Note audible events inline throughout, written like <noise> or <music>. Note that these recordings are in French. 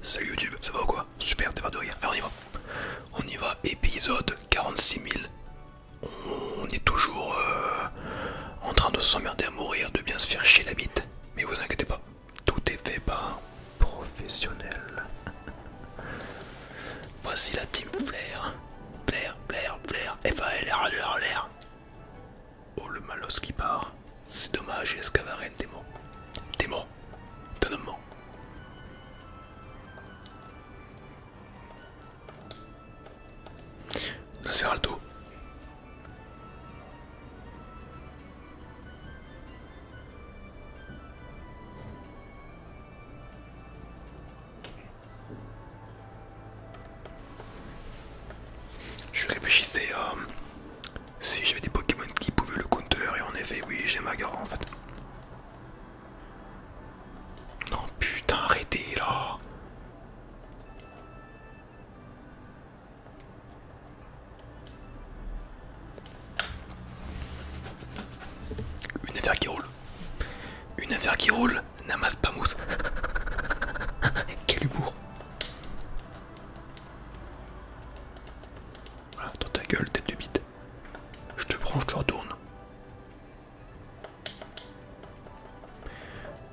Salut YouTube, ça va ou quoi Super, t'es pas de rire. Allez, on y va. On y va, épisode 46 000. On est toujours euh, en train de s'emmerder à mourir, de bien se faire chier la bite. Mais vous inquiétez pas, tout est fait par un professionnel. <laughs> Voici la team Flair. Flair, Flair, Flair, f a l Oh le malos qui part. C'est dommage, et t'es mort. T'es mort. un mort. La Je réfléchissais si j'avais des Pokémon qui pouvaient le counter, et en effet, oui, j'ai Magara en fait. Non, putain, arrêtez là! Une affaire qui roule. Une affaire qui roule, n'amasse pas mousse. <laughs> Quel humour! Voilà, dans ta gueule, tête de bide. Je te prends, je te retourne.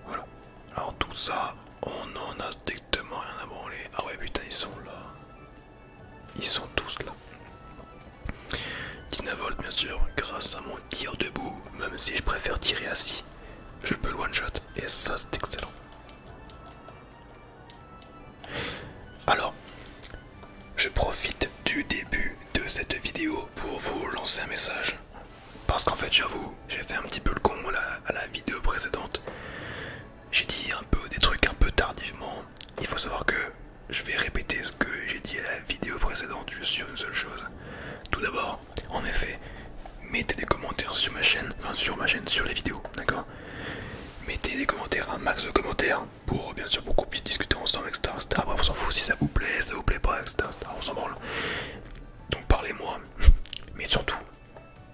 Voilà. Alors tout ça, on en a strictement rien à branler. Ah ouais putain, ils sont là. Ils sont tous là. Dynavolt, bien sûr, grâce à mon tir debout, même si je préfère tirer assis, je peux le one shot et ça c'est excellent. Alors, je profite du début de cette vidéo pour vous lancer un message. Parce qu'en fait, j'avoue, j'ai fait un petit peu le con à la, vidéo précédente. J'ai dit un peu des trucs un peu tardivement. Il faut savoir que je vais répéter ce que j'ai dit à la vidéo précédente, juste sur une seule chose. Tout d'abord, en effet, mettez des commentaires sur ma chaîne, enfin sur ma chaîne, sur les vidéos, d'accord Mettez des commentaires, un max de commentaires pour bien sûr beaucoup qu'on puisse discuter ensemble, etc. etc. Bref, on s'en fout si ça vous plaît, ça vous plaît pas, etc. etc. on s'en Donc parlez-moi. <laughs> Mais surtout,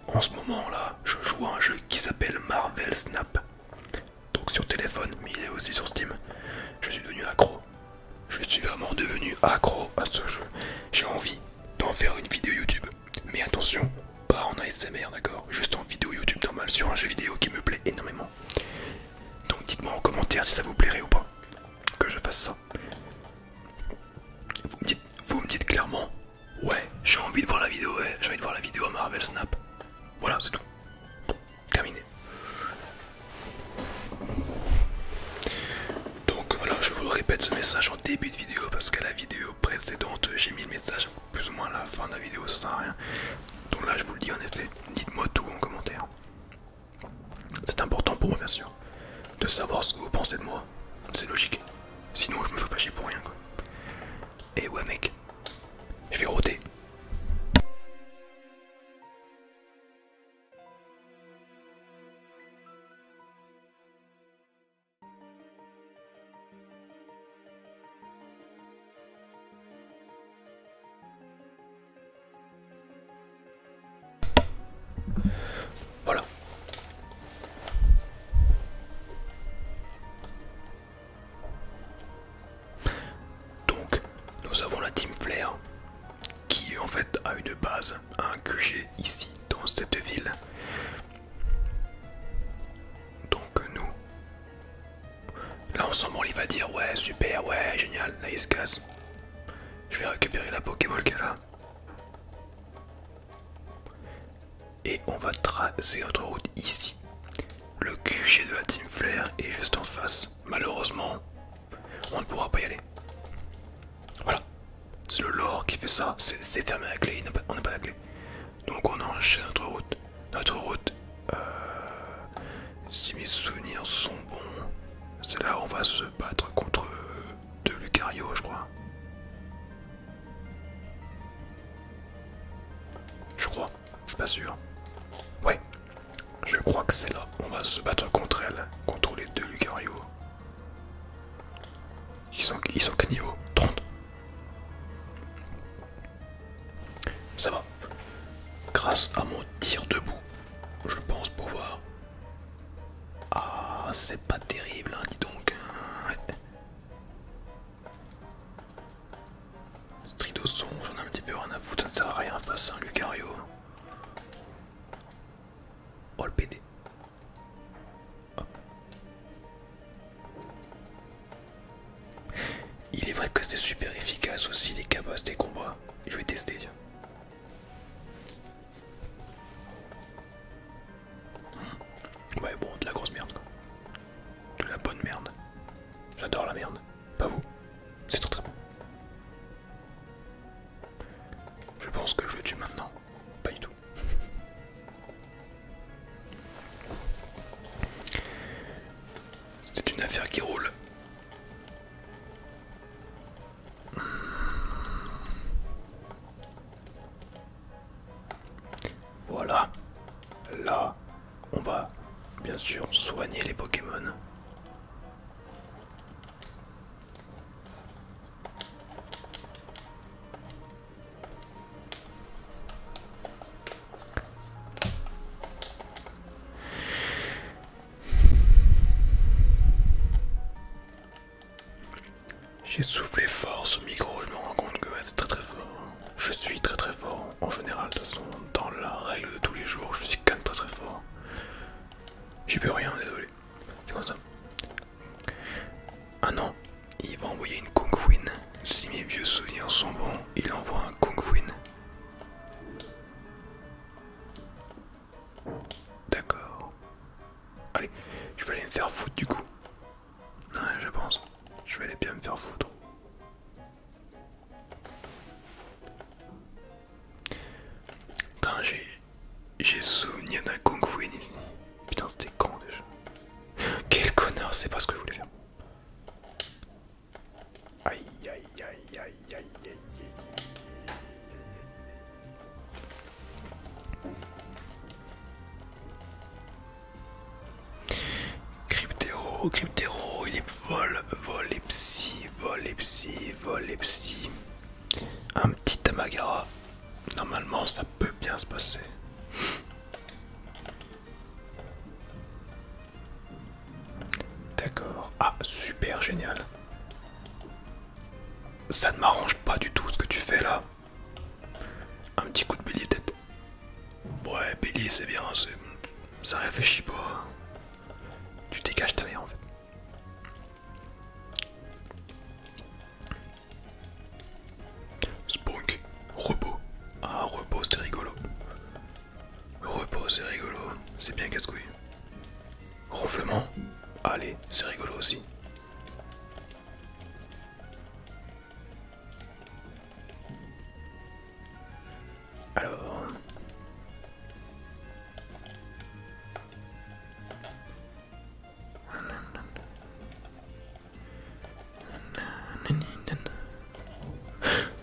en ce moment là, je joue à un jeu qui s'appelle Marvel Snap. Donc sur téléphone, mais il est aussi sur Steam. Je suis devenu accro. Je suis vraiment devenu accro à ce jeu. J'ai envie d'en faire une vidéo YouTube. Mais attention, pas en ASMR, d'accord Juste en vidéo YouTube normale sur un jeu vidéo qui me plaît énormément. Donc dites-moi en commentaire si ça vous plairait ou pas que je fasse ça. Vous me dites, clairement, ouais, j'ai envie de voir la vidéo, ouais, j'ai envie de voir la vidéo à Marvel Snap. Voilà, c'est tout. terminé. Donc voilà, je vous répète ce message début de vidéo parce qu'à la vidéo précédente j'ai mis le message plus ou moins à la fin de la vidéo ça sert à rien donc là je vous le dis en effet dites moi tout en commentaire c'est important pour moi bien sûr de savoir ce que vous pensez de moi c'est logique sinon je me fais pas chier pour rien quoi et ouais mec je vais rôter voilà. Donc, nous avons la Team Flair qui en fait a une base, un QG ici dans cette ville donc euh, nous... Là ensemble il va dire ouais super ouais génial, nice Je vais récupérer la Pokéball qu'elle a. Et on va tracer notre route ici. Le QG de la Team Flair est juste en face. Malheureusement, on ne pourra pas y aller. Voilà, c'est le lore qui fait ça, c'est fermé la clé, on n'a pas la clé. Donc on enchaîne notre route. Notre route, euh, si mes souvenirs sont bons, c'est là on va se battre contre deux Lucario, je crois. Je crois, je pas sûr. Ouais, je crois que c'est là. On va se battre contre elle, contre les deux Lucario. Ils sont, qu'à niveau 30. Ça va. Grâce à mon tir debout, je pense pouvoir. Ah, c'est pas terrible, hein, dis donc. Strido songe, j'en ai un petit peu rien à foutre, ça ne sert à rien face à un Lucario. Oh le PD. Il est vrai que c'est super efficace aussi les cabosses des combats. Je vais tester. Ouais bon, de la grosse merde De la bonne merde. J'adore la merde. Pas vous. C'est trop très bon. Je pense que je le tue maintenant. Pas du tout. C'est une affaire qui roule. Voilà. Là, on va bien sûr soigner les Pokémon. J'ai soufflé fort ce micro, je me rends compte que c'est très très fort. Je suis très très fort en général, de toute façon, dans la règle de tous les jours, je suis quand même très très fort. J'y peux rien, désolé. C'est comme ça. Ah non, il va envoyer une Kung Fuin. Si mes vieux souvenirs sont bons, il envoie un Kung Fuin. D'accord. Allez, je vais aller me faire foutre du coup. Ouais, je pense. Je vais aller bien me faire foutre. Attends, j'ai souvenir d'un Kung Fu ici. Putain, c'était con déjà. Quel connard, c'est pas ce que je voulais faire. Aïe aïe aïe aïe aïe aïe aïe. aïe aïe il est vol, vol vol vol Un petit Tamagara, Normalement, ça peut bien se passer. D'accord. Ah, super génial. Ça ne m'arrange pas du tout ce que tu fais là. Un petit coup de bélier tête. Ouais, bélier c'est bien, ça réfléchit pas. Tu dégages ta mère en fait. Spunk, repos. Ah, repos, c'est rigolo. Repos, c'est rigolo. C'est bien casse-couille. Ronflement, allez, c'est rigolo aussi. Alors.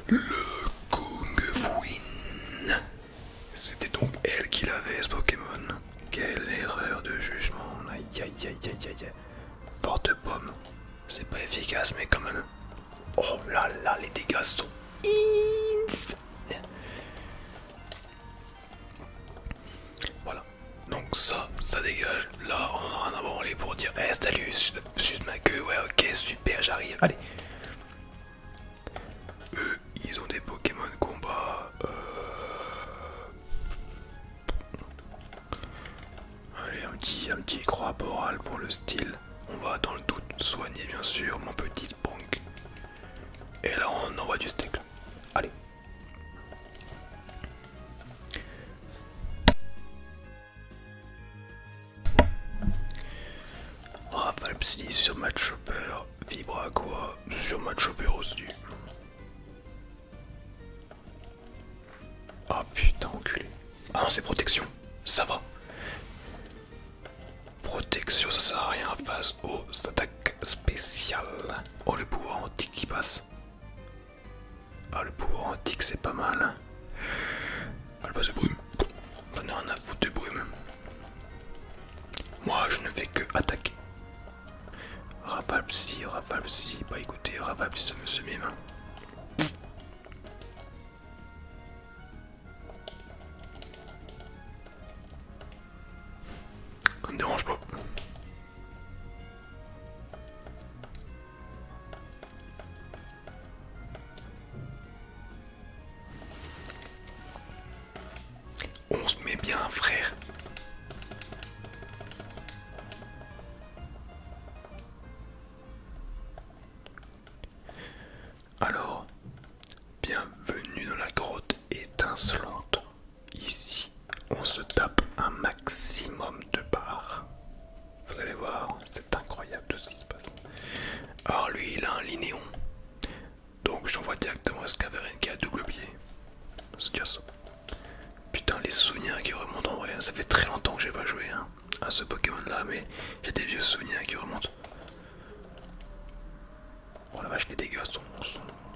Le Kung Fuin C'était donc elle qui l'avait ce Pokémon. Quelle erreur de jugement. Aïe aïe aïe aïe aïe. Porte pomme. C'est pas efficace mais quand même. Oh là là, les dégâts sont insane. Voilà, donc ça, ça dégage. Là, on en a un pour dire Eh salut, suce, ma queue, ouais ok, super, j'arrive. Allez. Eux, ils ont des Pokémon combat. Euh, allez, un petit, un petit croix boral pour le style. On va dans le doute soigner bien sûr mon petit punk. Et là on envoie du steak. Allez. Rafale Psy sur Match vibre Vibre quoi sur matchopper aussi. Ah putain, enculé. Ah non, c'est protection, ça va. Protection, ça sert à rien. Face aux attaques spéciales. Oh le pouvoir antique qui passe. Ah, le pouvoir antique, c'est pas mal. Hein. Ah, le brume. On a foutu de brume. Moi, je ne fais que attaquer. Ravalpsy Ravalpsy Bah écoutez, rafale ça me se mime. Hein. Ça me dérange pas. On se met bien, frère. Alors, bienvenue dans la grotte étincelante. Ici, on se tape un maximum de barres. Vous allez voir, c'est incroyable tout ce qui se passe. Alors lui, il a un linéon. Donc j'envoie directement à Scaverin qui a double pied. C'est Putain, les souvenirs qui remontent en vrai. Ça fait très longtemps que j'ai pas joué hein, à ce Pokémon là, mais j'ai des vieux souvenirs qui remontent. Oh la vache, les dégâts sont, sont,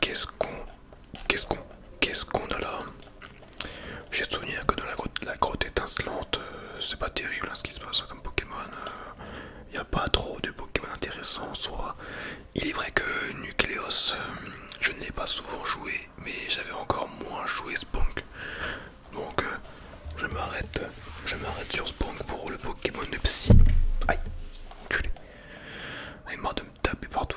Qu'est-ce qu'on. Qu'est-ce qu'on. Qu'est-ce qu'on a là J'ai souvenir que dans la grotte, la grotte étincelante, ce euh, c'est pas terrible hein, ce qui se passe comme Pokémon. Il euh, n'y a pas trop de Pokémon intéressants en soi. Il est vrai que Nucleos, euh, je n'ai pas souvent joué, mais j'avais encore moins joué Sponk. Donc je m'arrête. Je m'arrête sur Sponk pour le Pokémon de Psy. Aïe, enculé Il est de me taper partout.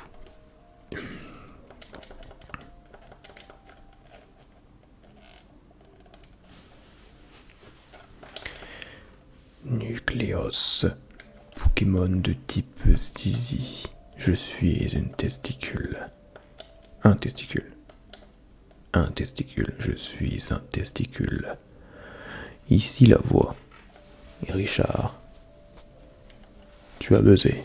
Nucleos, Pokémon de type Stizy. Je suis un testicule. Un testicule. Un testicule. Je suis un testicule. Ici la voix. Richard. Tu as buzzé.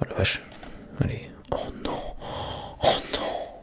Oh la vache. Allez. Oh non. Oh non.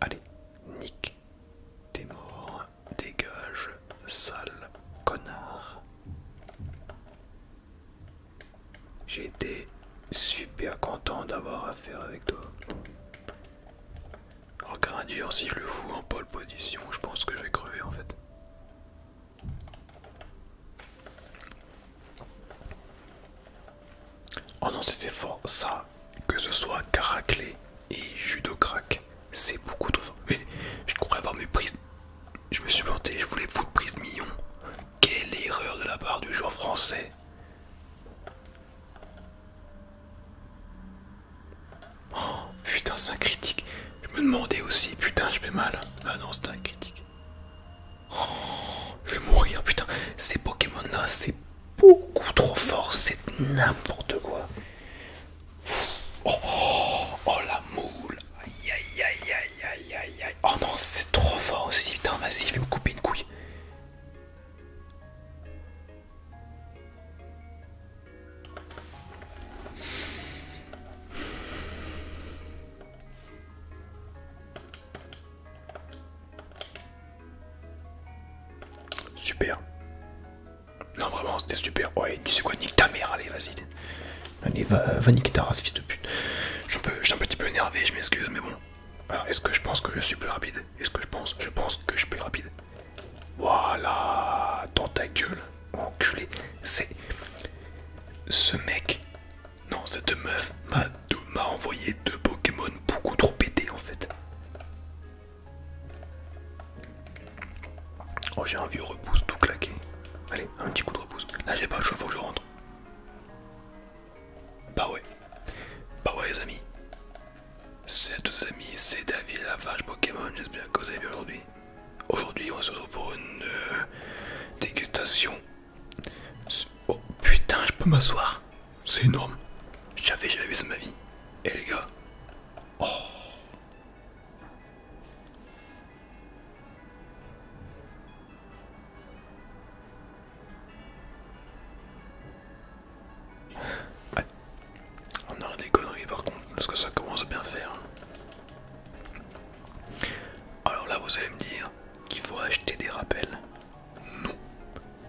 Allez, Nick, t'es mort, dégage, sale connard. J'ai été super content d'avoir affaire avec toi. En un dur, si je le fous en pole position, je pense que je vais crever en fait. Oh non, c'est fort ça, que ce soit caraclé et judo craque, c'est beaucoup trop fort. Mais je pourrais avoir mes prise, Je me suis planté, je voulais foutre prise million. Quelle erreur de la part du joueur français. Oh putain c'est un critique. Je me demandais aussi, putain je fais mal. Ah non c'est un critique. Oh, je vais mourir, putain. Ces Pokémon là, c'est beaucoup trop fort, c'est n'importe quoi. Oh, oh, oh, la moule. Aïe aïe aïe aïe aïe aïe aïe. Oh non c'est trop fort aussi, putain vas-y je vais me couper une couille. Super. Non, vraiment, c'était super. Ouais, tu sais quoi, nique ta mère, allez, vas-y. va, va niquer ta race, fils de pute. Je suis un petit peu énervé, je m'excuse, mais bon. Alors, est-ce que je pense que je suis plus rapide Est-ce que je pense Je pense que je suis plus rapide. Voilà, dans ta gueule, enculé. C'est. Ce mec. Non, cette meuf m'a envoyé deux Pokémon beaucoup trop pétés en fait. Oh, j'ai un vieux repousse tout claqué. Allez, un petit coup de repousse. Là, j'ai pas le choix, faut que je rentre. Bah ouais. Bah ouais, les amis. Salut à tous les amis, c'est David Lavage Pokémon, j'espère que vous avez bien aujourd'hui. Aujourd'hui on se retrouve pour une euh, dégustation. Oh putain, je peux m'asseoir. C'est énorme. J'avais jamais vu ça ma vie. Et eh, les gars. Oh. Ouais. On a des conneries par contre, parce que ça commence à bien faire. Alors là, vous allez me dire qu'il faut acheter des rappels. Non,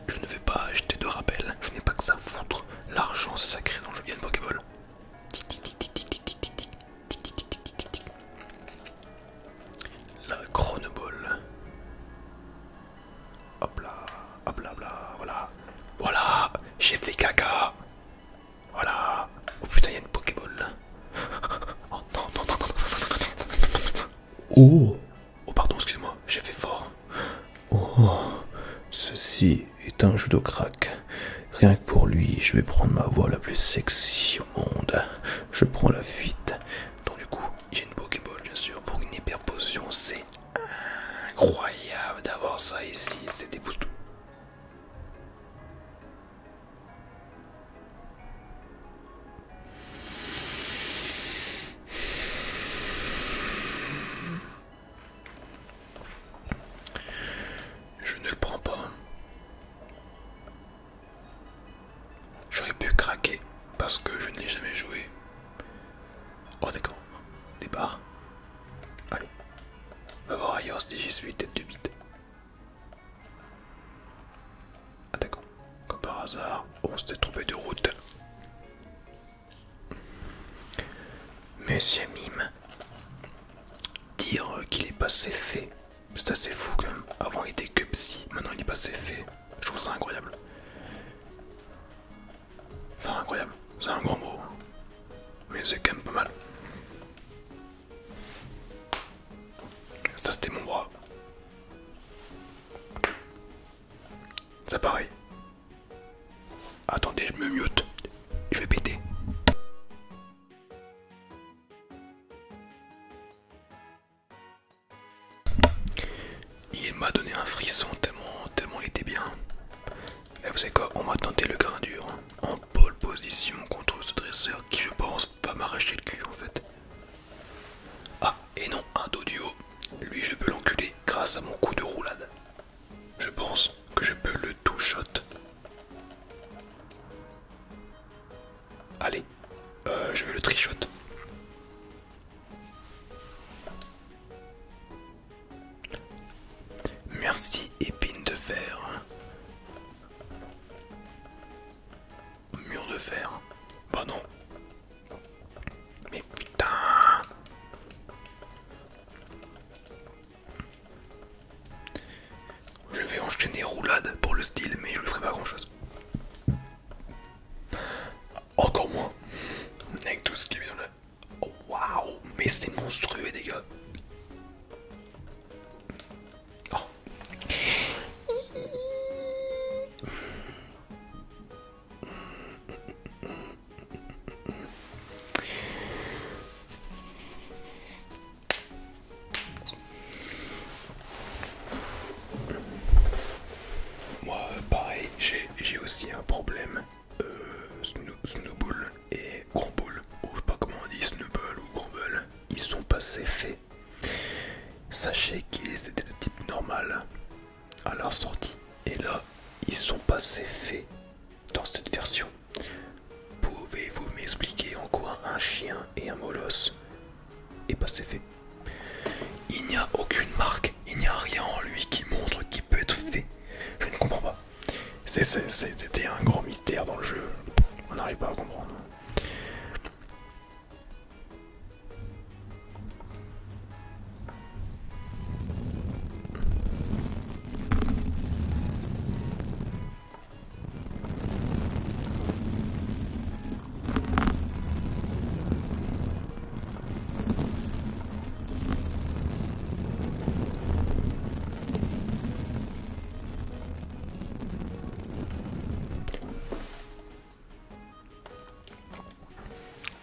je ne vais pas acheter de rappels, je n'ai pas que ça à foutre. L'argent c'est sacré dans le jeu de Pokéball. La chronoball. Hop là, hop là, voilà. Voilà, j'ai fait caca. Voilà. Oh putain, il y a une Pokéball. Oh Oh, pardon, excuse-moi, j'ai fait fort. Oh, ceci est un jeu de crack. Rien que pour lui, je vais prendre ma voix la plus sexy au monde. Je prends la fuite. Donc du coup, j'ai une Pokéball bien sûr pour une hyper potion. C'est incroyable d'avoir ça ici, c'est des Je ne le prends pas. J'aurais pu craquer parce que je ne l'ai jamais joué Oh d'accord, départ. Allez. Va voir ailleurs si j'y suis, tête de bite. Ah d'accord, comme par hasard, on s'était trompé de route. Monsieur Mime, dire qu'il est passé fait, c'est assez fou quand même. Avant il était que psy, maintenant il est passé fait. Je trouve ça incroyable. Enfin, incroyable, c'est un grand mot, hein. mais c'est quand même pas mal. Ça, c'était mon bras. Ça, pareil. Attendez, je me mute, je vais péter. Il m'a donné un frisson tellement, tellement il était bien. Et vous savez quoi, on m'a tenté le grain dur hein. en pole position contre ce dresseur qui je pense va m'arracher le cul en fait. Ah et non, un dos du haut. Lui je peux l'enculer grâce à mon coup de roulade. Je pense que je peux le two Allez, euh, je vais le trichote. Merci épine de fer. Mur de fer. Bah non. Mais putain. Je vais enchaîner roulade pour le style, mais je ne ferai pas grand chose. Encore moins. Avec tout ce qui vient là. Oh, Waouh, mais c'est monstrueux, les gars. Oh. Moi, pareil, j'ai aussi un problème euh, snowball et Grombull, ou je sais pas comment on dit, Snowball ou Ball, ils sont passés faits. Sachez qu'ils étaient de type normal à leur sortie, et là, ils sont passés faits dans cette version. Pouvez-vous m'expliquer en quoi un chien et un molosse est passé faits? Il n'y a aucune marque, il n'y a rien en lui qui montre qu'il peut être fait. Je ne comprends pas. C'était un grand mystère dans le jeu. On n'arrive pas à comprendre.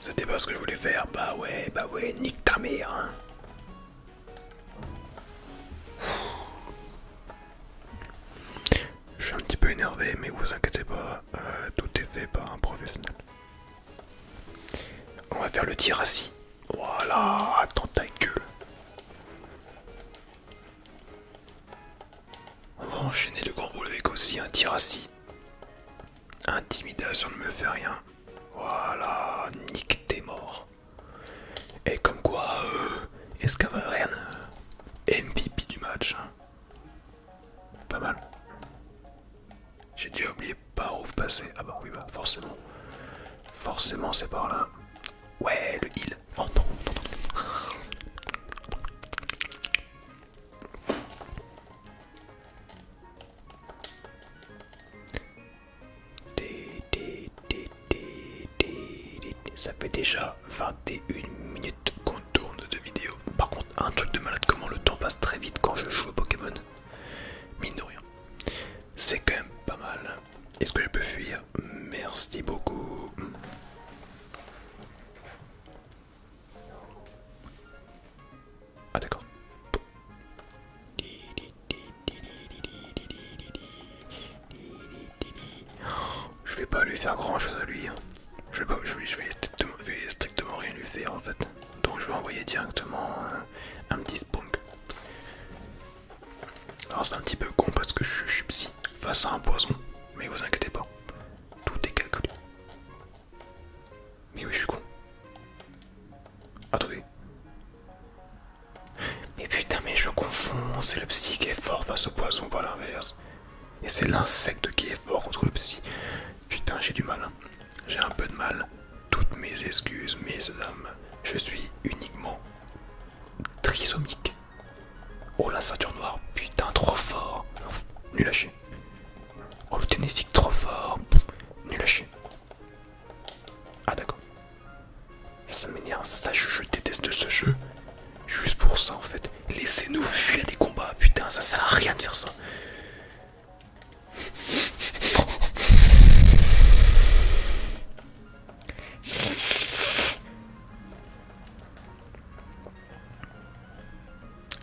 C'était pas ce que je voulais faire, bah ouais, bah ouais, nique ta mère hein. Je suis un petit peu énervé, mais vous inquiétez pas, euh, tout est fait par un professionnel. On va faire le tir assis. Voilà, tentacule. On va enchaîner le grand boule avec aussi un tir Intimidation ne me fait rien. Voilà, nique tes morts. Et comme quoi, euh, rien MVP du match. Pas mal. J'ai déjà oublié par où vous passez. Ah bah oui, bah forcément. Forcément, c'est par là. Ouais, le heal. Oh Ça fait déjà 21 minutes qu'on tourne de vidéo. Par contre, un truc de malade, comment le temps passe très vite quand je joue au Pokémon. Mine de rien. C'est quand même pas mal. Est-ce hein. que je peux fuir Merci beaucoup. Ah d'accord. Je vais pas lui faire grand chose à lui. Hein. Je vais, strictement rien lui faire en fait donc je vais envoyer directement euh, un, petit spunk. Alors c'est un petit peu con parce que je, suis psy face à un poison, mais vous inquiétez pas, tout est calculé. Mais oui, je suis con. Attendez. Mais putain, mais je confonds, c'est le psy qui est fort face au poison, pas l'inverse. Et c'est l'insecte qui est fort contre le psy. Putain, j'ai du mal. Hein. J'ai un peu de mal. Toutes mes excuses, mes hommes. Je suis uniquement trisomique. Oh la ceinture noire, putain, trop fort. nul à Oh le ténéfique, trop fort. nul à Ah d'accord. Ça m'énerve, ça je, déteste déteste ce jeu. Juste pour ça en fait. Laissez-nous fuir des combats, putain, ça sert à rien de faire ça.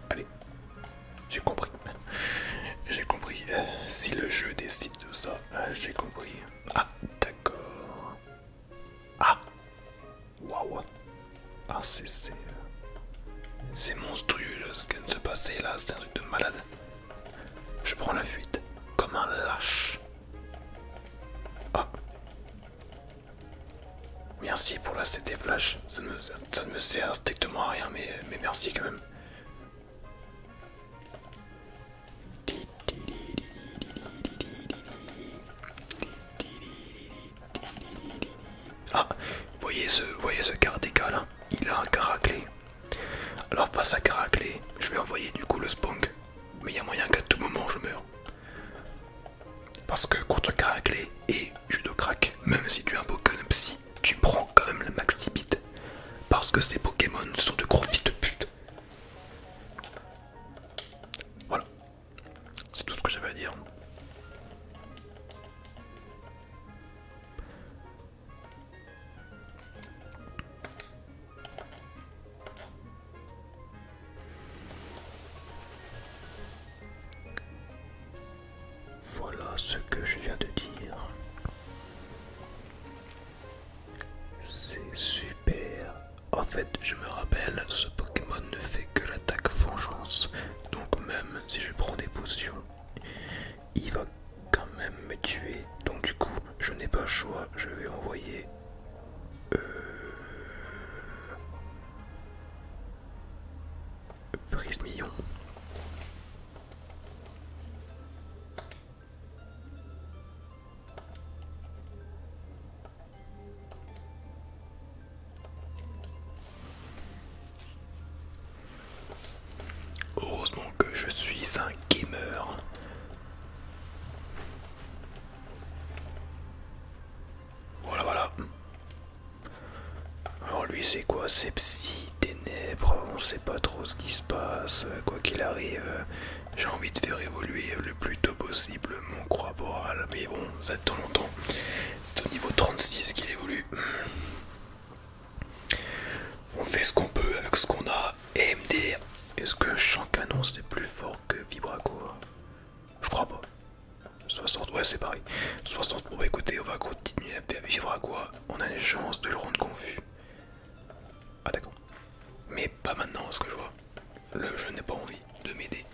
Allez, j'ai compris. J'ai compris. Euh, si le jeu décide de ça, euh, j'ai compris. Ah, d'accord. Ah, waouh. Ah, c'est... C'est monstrueux ce qui vient de se passer là, c'est un truc de malade. Je prends la fuite comme un lâche. Ah. Merci pour la CT Flash, ça ne, me sert strictement à rien, mais, merci quand même. Ah, voyez ce, voyez ce là il a un caraclé. Alors face à caraclé, je vais envoyer du coup le spong. Mais il y a moyen qu'à tout moment je meure. Parce que contre caraclé et judo crack, même si tu as un Pokémon psy, tu prends quand même le max tibit. Parce que ces Pokémon sont de gros fils de pute. Voilà. C'est tout ce que j'avais à dire. Voilà ce que je viens de dire. C'est super. En fait, je me rappelle, ce Pokémon ne fait que l'attaque vengeance. Donc même si je prends des potions, il va quand même me tuer. Donc du coup, je n'ai pas choix. Je vais envoyer... Euh, Heureusement que je suis un gamer. Voilà, voilà. Alors lui c'est quoi C'est psy, ténèbres, on sait pas trop ce qui se passe, quoi qu'il arrive. J'ai envie de faire évoluer le plus tôt possible mon croix borale Mais bon, ça dans longtemps. C'est au niveau 36 qu'il évolue. On fait ce qu'on peut avec ce qu'on a. E MD. Est-ce que champ canon c'est plus fort que Vibraco Je crois pas. 60, ouais c'est pareil. 60 pour écouter, on va continuer à vivre à quoi On a une chance de le rendre confus. Ah d'accord. Mais pas maintenant, ce que je vois. Le jeu n'ai pas envie de m'aider.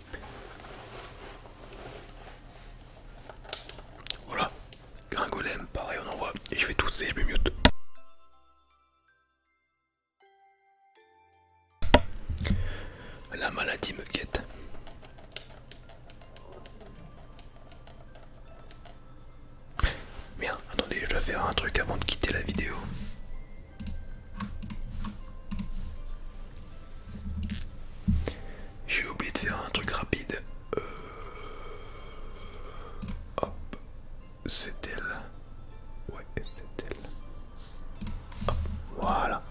Voilà. Gringolem, pareil, on envoie. Et je vais tousser, je me mute. La maladie me guette. Merde, attendez, je dois faire un truc avant de quitter la vidéo. J'ai oublié de faire un truc rapide. Euh, hop, c'est elle. Ouais, c'est elle. Hop, voilà.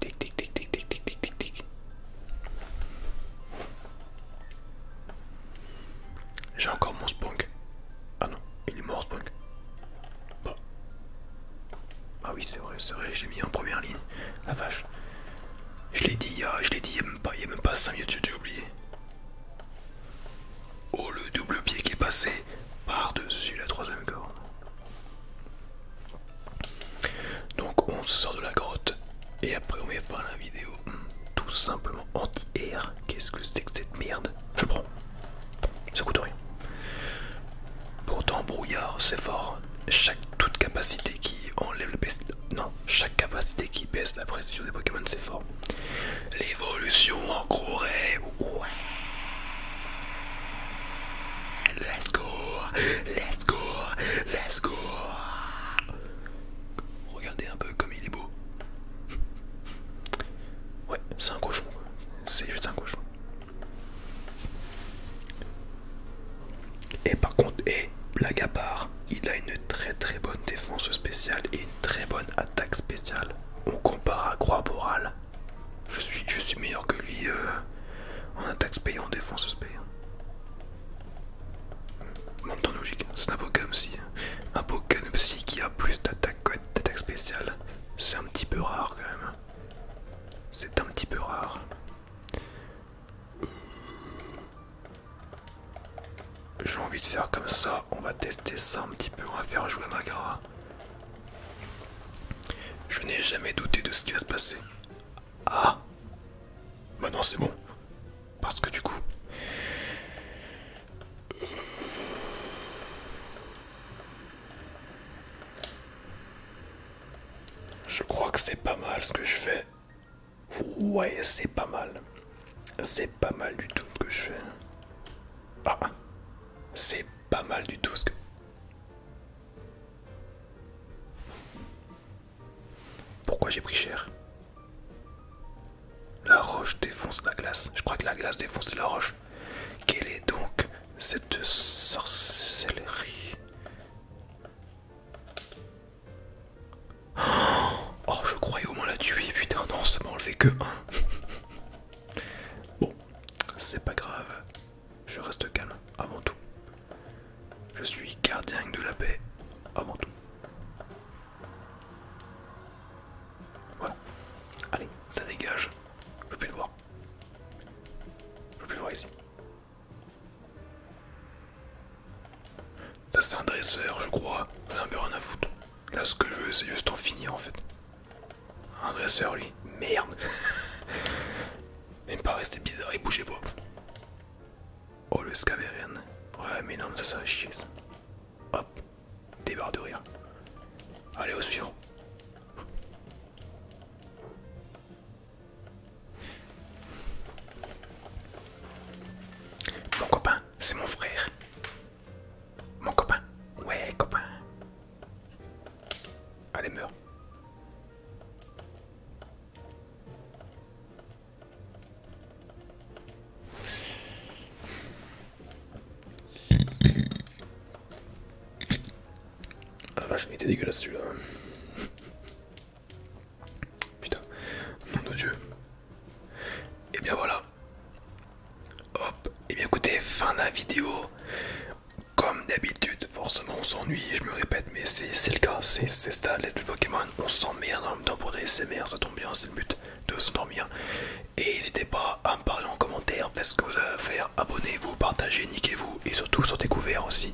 Tic tic tic tic tic tic tic tic tic. J'ai encore mon Spunk. Ah non, il est mort Spunk. Bon, bah. Ah oui, c'est vrai, c'est vrai, je l'ai mis en première ligne. La vache. Je l'ai dit il y a, je dit il même pas, 5 minutes, j'ai oublié. Oh, le double pied qui est passé par-dessus la troisième corde. Donc on se sort de la grotte et après on met fin la vidéo. Hmm, tout simplement anti-air. Qu'est-ce que c'est que cette merde Je prends. Ça coûte rien. Pourtant brouillard, c'est fort. Chaque toute capacité qui enlève le Non, chaque capacité qui baisse la pression des Pokémon, c'est fort. L'évolution en gros rêve. Ouais. Let's go. Let's go. Let's go. Regardez un peu comme il est beau. Ouais, c'est un cochon. C'est juste un cochon. Et par contre, et blague à part, il a une très très bonne défense spéciale et une très bonne attaque spéciale. On compare à Croix Boral. Je suis, je suis meilleur que lui euh, en attaque spéciale et en défense spéciale. Même logique, c'est un Pokémon psy. Un Pokémon qui a plus d'attaque d'attaque spéciale. C'est un petit peu rare quand même. C'est un petit peu rare. J'ai envie de faire comme ça, on va tester ça un petit peu, on va faire jouer Magara. Je n'ai jamais douté de ce qui va se passer. Ah Bah non c'est bon. Parce que du coup... Je crois que c'est pas mal ce que je fais. Ouais, c'est pas mal. C'est pas mal du tout ce que je fais. Ah, c'est pas mal du tout ce que... Pourquoi j'ai pris cher La roche défonce la glace. Je crois que la glace défonce la roche. Quelle est donc cette sorcellerie Oh, je croyais au moins la tuer, putain, non, ça m'a que un. bon, c'est pas grave, je reste calme avant tout. Je suis gardien de la paix avant tout. Voilà, allez, ça dégage, je peux plus le voir. Je peux plus le voir ici. Ça c'est un dresseur je crois, On ai un rien à foutre. Là ce que je veux c'est juste en finir en fait. Un dresseur lui, merde Même pas rester bizarre, il bougeait pas. Oh le Scaverian, ouais mais non mais ça ça va chier ça. Hop, débarre de rire. Allez au suivant. Mon copain, c'est mon frère. Mon copain. Ouais, copain. Allez, meurs. Ah vache, il était dégueulasse celui-là. <laughs> Putain, nom de Dieu. Et eh bien voilà. Hop, et eh bien écoutez, fin de la vidéo. Comme d'habitude, forcément on s'ennuie, je me répète, mais c'est le cas, c'est ça, les Pokémon, on s'emmerde en même temps pour des SMR, ça tombe bien, c'est le but de s'endormir. Et n'hésitez pas à me parler en commentaire, faites ce que vous avez à faire, abonnez-vous, partagez, niquez-vous, et surtout sortez couverts aussi.